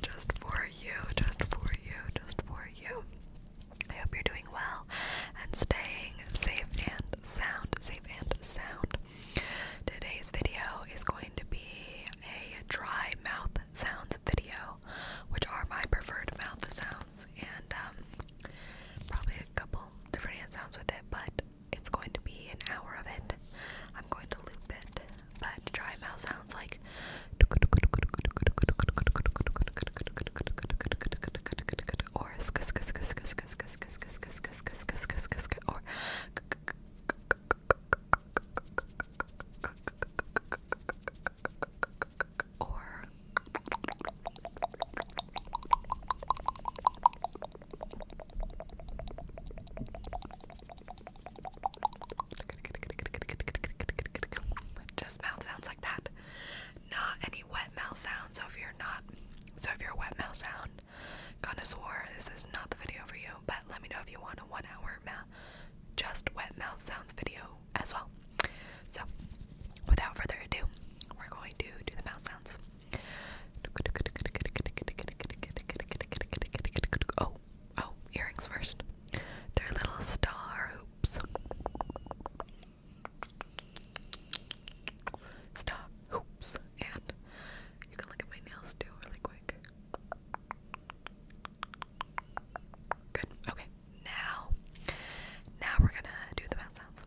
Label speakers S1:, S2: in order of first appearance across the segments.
S1: Just for you, just for you, just for you. I hope you're doing well and staying safe and sound, safe and sound. Today's video is going to be a dry mouth sounds video, which are my preferred mouth sounds, and um, probably a couple different hand sounds with it, but it's going to be an hour of it. I'm going to loop it but dry mouth sounds like or just mouth sounds like that. Not any wet mouth sound. So if you're not, so if you're a wet mouth sound connoisseur, this is not the video for you. But let me know if you want a one-hour just wet mouth sounds video as well. So without further ado, we're going to do the mouth sounds. Oh, Oh, oh, earrings first. They're little star hoops. Star hoops. And you can look at my nails too, really quick. Good. Okay. Now, now we're gonna do the mouth sounds.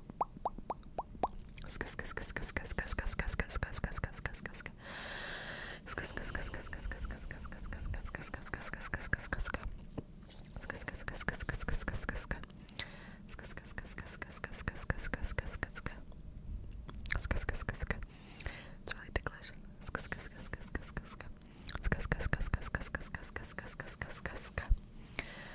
S2: It's really ticklish. It's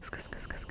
S2: it's really ticklish. It's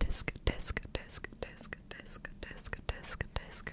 S2: Disc, disc, disc, disc, disc, disc, disc, disc, disc, disc, disc, disc.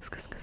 S2: It's really ticklish.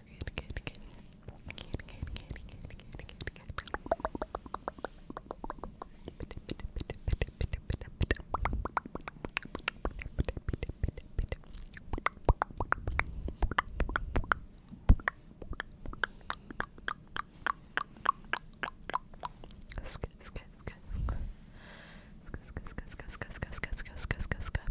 S2: good, good, good. Good, good, good, good, good, good, good. Sk sk sk sk sk sk sk sk sk sk sk sk sk sk sk sk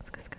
S2: It's really ticklish.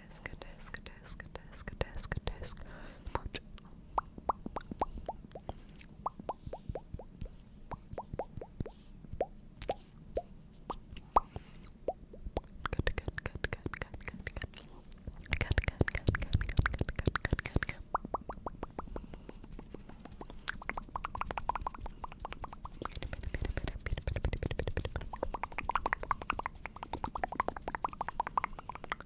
S2: disc, disc, disc, disc, disc, disc. Smooch. Good, good, good, good, good, good, good. Good, good, good, good, good, good, good, good, good, good.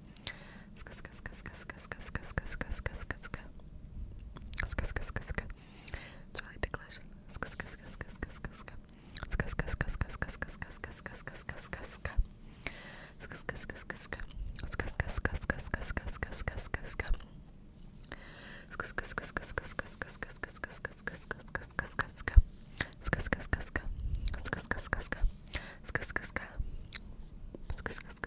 S2: It's really ticklish.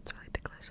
S2: It's really ticklish.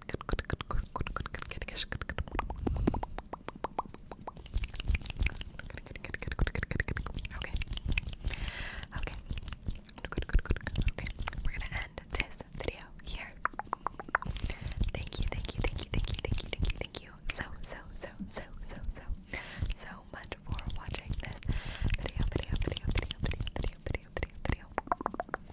S2: Okay. Okay. Okay. We're gonna end this video here. Thank you, thank you, thank you, thank you, thank you, thank you, thank you. So,
S1: so, so, so, so, so, so much for watching this video, video, video, video, video, video, video, video. video.